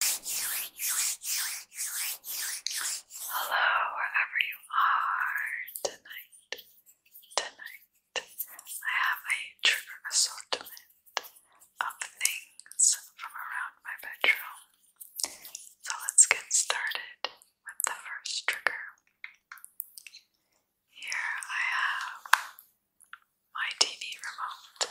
Hello, wherever you are tonight. Tonight, I have a trigger assortment of things from around my bedroom. So let's get started with the first trigger. Here I have my TV remote.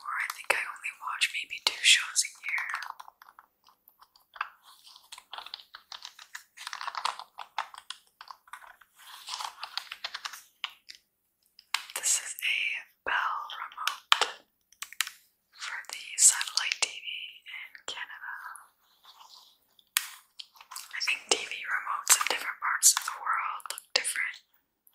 I think I only watch maybe two shows a year. This is a Bell remote for the satellite TV in Canada. I think TV remotes in different parts of the world look different.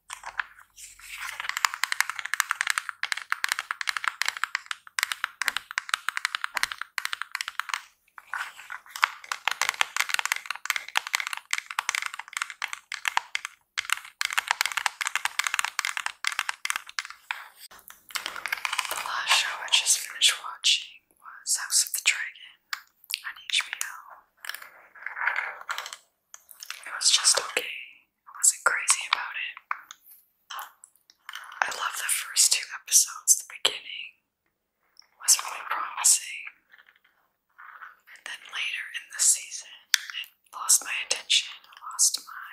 The last show I just finished watching was House of the Dragon on HBO. It was just okay. I wasn't crazy about it. I love the first two episodes. The beginning was really promising. And then later in the season, it lost my attention, lost my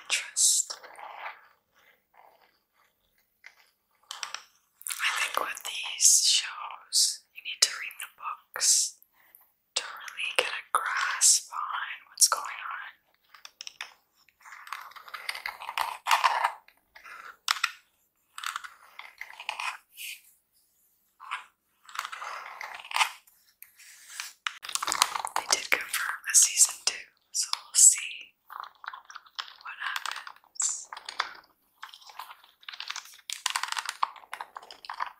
interest. I think with these shows, you need to read the books to really get a grasp on what's going on. They did confirm a season two, so we'll see what happens.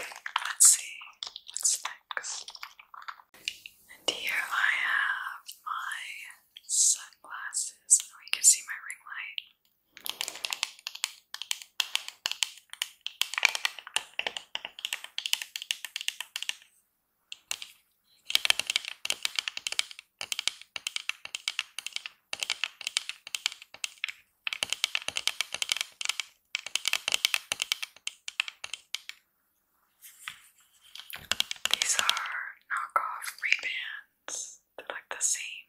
Okay, let's see what's and here I have my sunglasses. you can see my ring light. These are knockoff Ray-Bans. They're like the same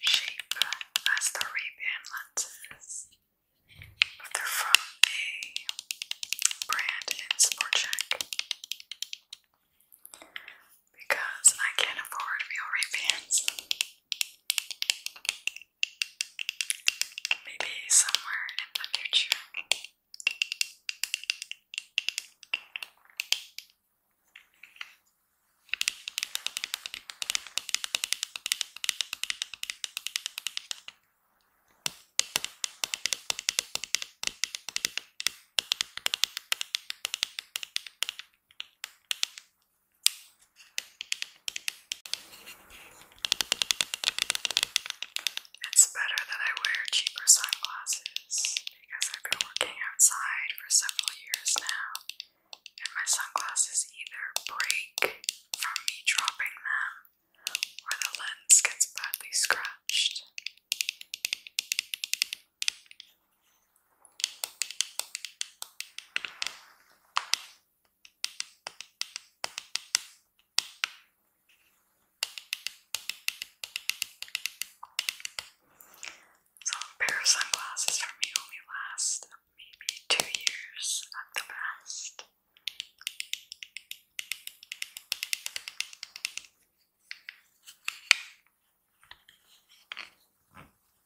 shape as the Ray-Ban lenses. But they're from a brand in Sportcheck. Because I can't afford real Ray-Bans. Maybe somewhere in the future. It's better that I wear cheaper sunglasses because I've been working outside for several years now, and my sunglasses either break from me dropping them or the lens gets badly scratched. So a pair of sunglasses for me only last maybe two years at the best.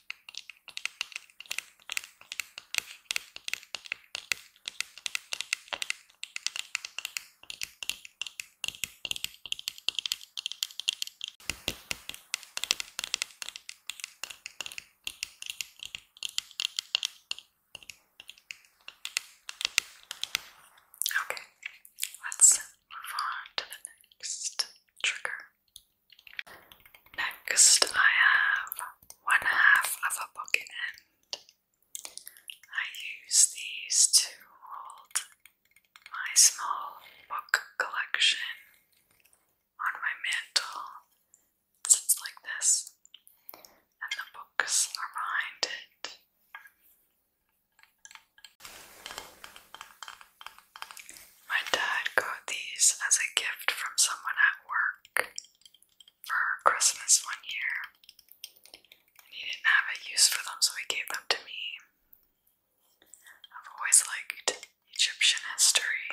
Okay, let's move on to the next trigger. Next, I have one half of a pocket end. I use these to hold my small book collection on my mantle. It sits like this, and the books are behind it. My dad got these as a gift from someone at work for Christmas one year. And he didn't have a use for them, so he gave them to me. I've always liked Egyptian history.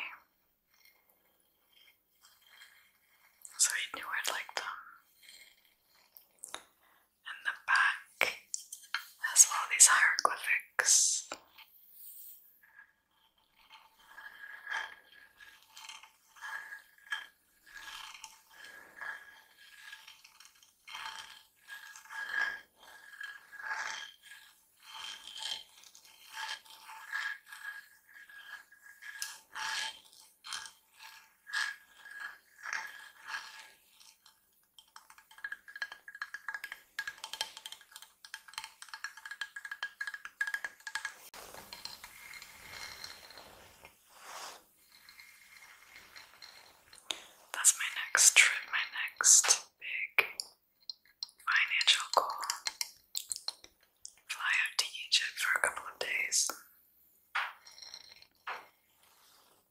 So he knew I'd like them and the back has all these hieroglyphics. That's my next trip, my next big financial goal. Fly out to Egypt for a couple of days.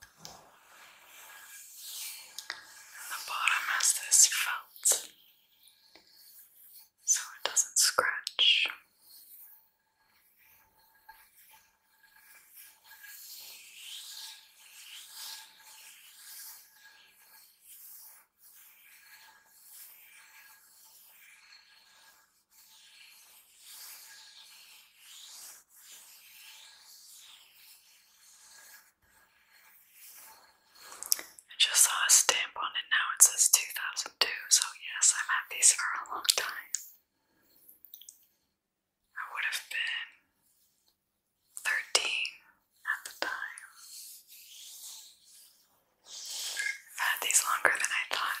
the bottom has this felt so it doesn't scratch. I just saw a stamp on it now, it says 2002, so yes, I've had these for a long time. I would have been 13 at the time. I've had these longer than I thought.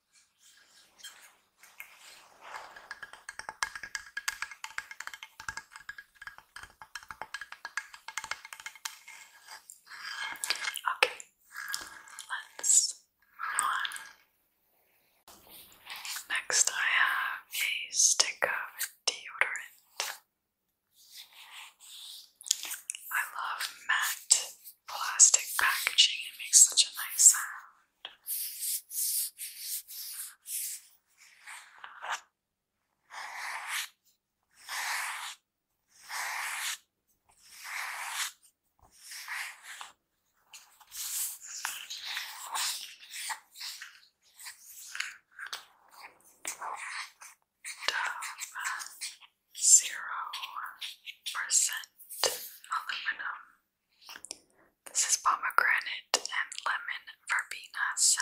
Okay, let's move on. Next, I have a stick of deodorant. I love matte plastic packaging, it makes such a nice sound. Zero percent aluminum this is pomegranate and lemon verbena scent.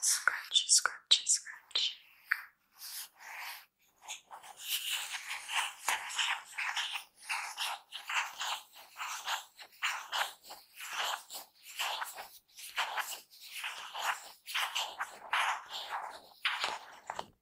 Scratchy, scratchy, scratchy.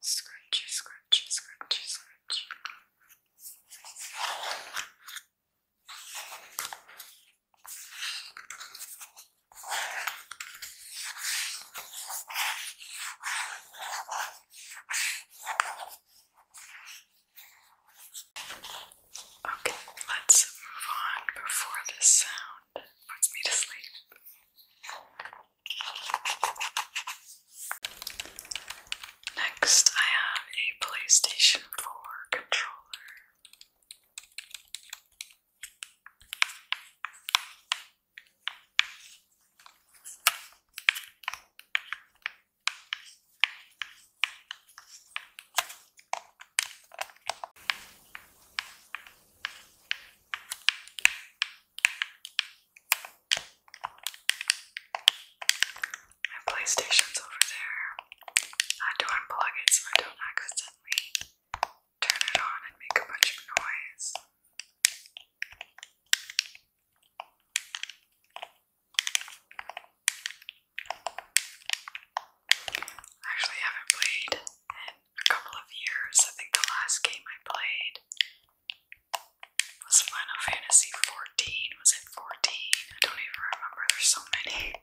Scratchy, scratchy, scratchy, scratchy. Okay, let's move on before this sound puts me to sleep. Next, I have a PlayStation 4 controller. My PlayStation's over there. I had to unplug it so I don't accidentally turn it on and make a bunch of noise. I actually haven't played in a couple of years. I think the last game I played was Final Fantasy 14? Was it 14? I don't even remember. There's so many.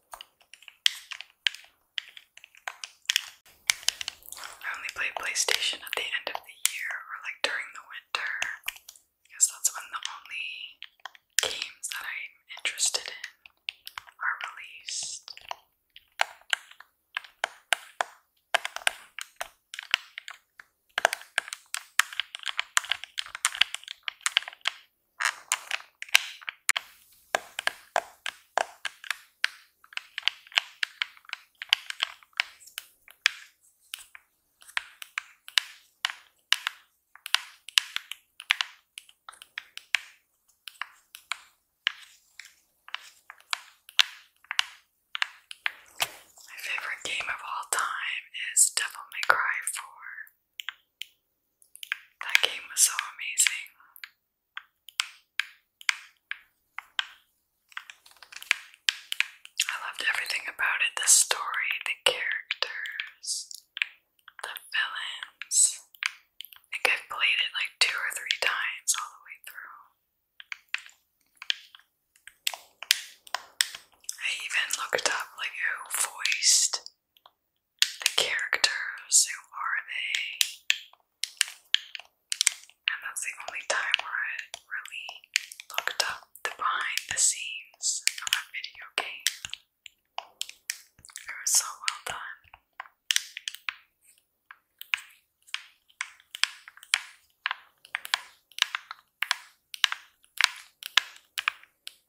I only play PlayStation at the end of the year or like during the winter because that's when the only games that I'm interested in are released. My favorite game of all time is Devil May Cry 4. That game was so amazing. I loved everything about it the story, the characters, the villains. I think I've played it like two or three times all the way through. I even looked up like who voiced the characters, who are they? And that's the only time where I really looked up the behind the scenes of a video game. It was so well done.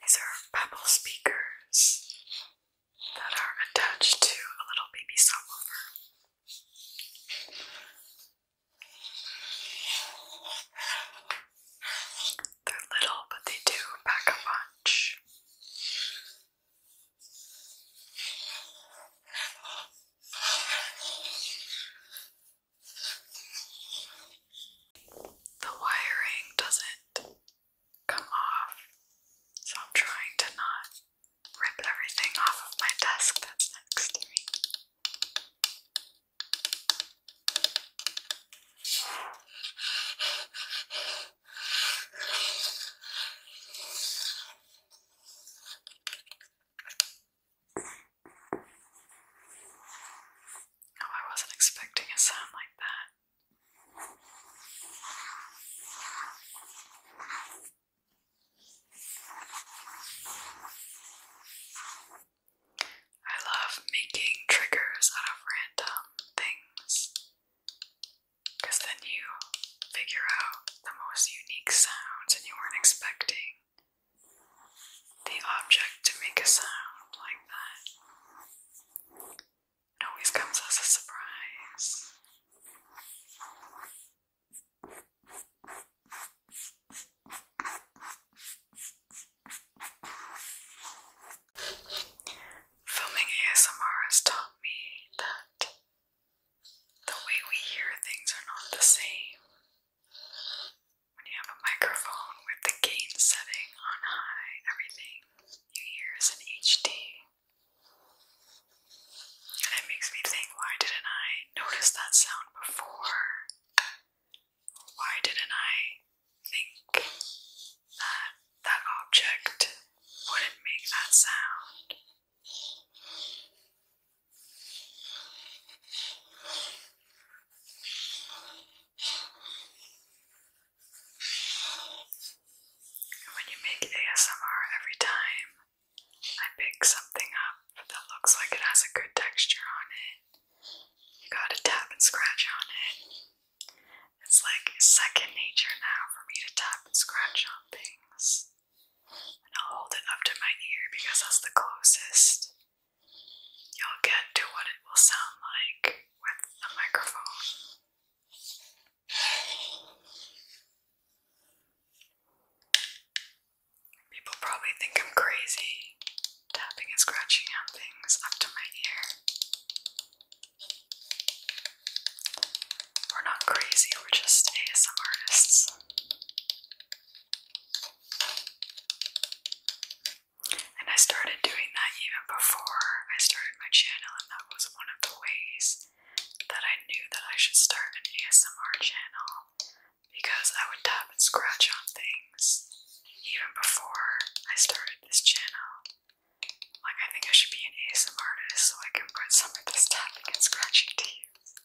These are Pebble speakers that are attached to a little baby subwoofer. They're little, but they do pack a punch. The wiring doesn't come off, so I'm trying to not rip everything off of my desk that's next to me. Oh, I wasn't expecting a sound like that. I love making triggers out of random things because then you figure out the most unique sounds and you weren't expecting the object to make a sound like that. It always comes as a surprise. Filming ASMR has taught me that the way we hear things are not the same. When you have a microphone with the gain setting on high, everything you hear is in HD. And it makes me think, why didn't I notice that sound before? Why didn't I think that that object wouldn't make that sound? When you make ASMR every time, I pick something up that looks like it has a good texture on it. You gotta tap and scratch on it. It's like second nature now for me to tap and scratch on things. And I'll hold it up to my ear because that's the closest You'll get to what it will sound like with the microphone. People probably think I'm crazy tapping and scratching on things up to my ear. We're not crazy, we're just ASM artists. And I started doing that even before I started my channel, and that was one of the ways that I knew that I should start an ASMR channel because I would tap and scratch on things even before I started this channel. Like, I think I should be an ASMR artist so I can put some of this tapping and scratching to use.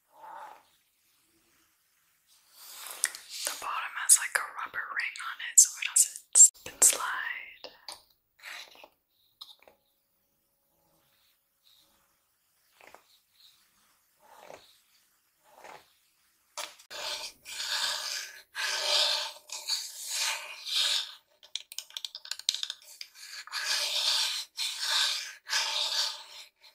The bottom has like a rubber ring on it so it doesn't slip and slide.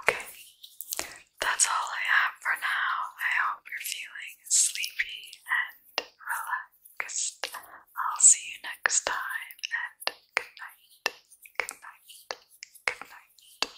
Okay, that's all I have for now. I hope you're feeling sleepy and relaxed. I'll see you next time, and good night, good night, good night.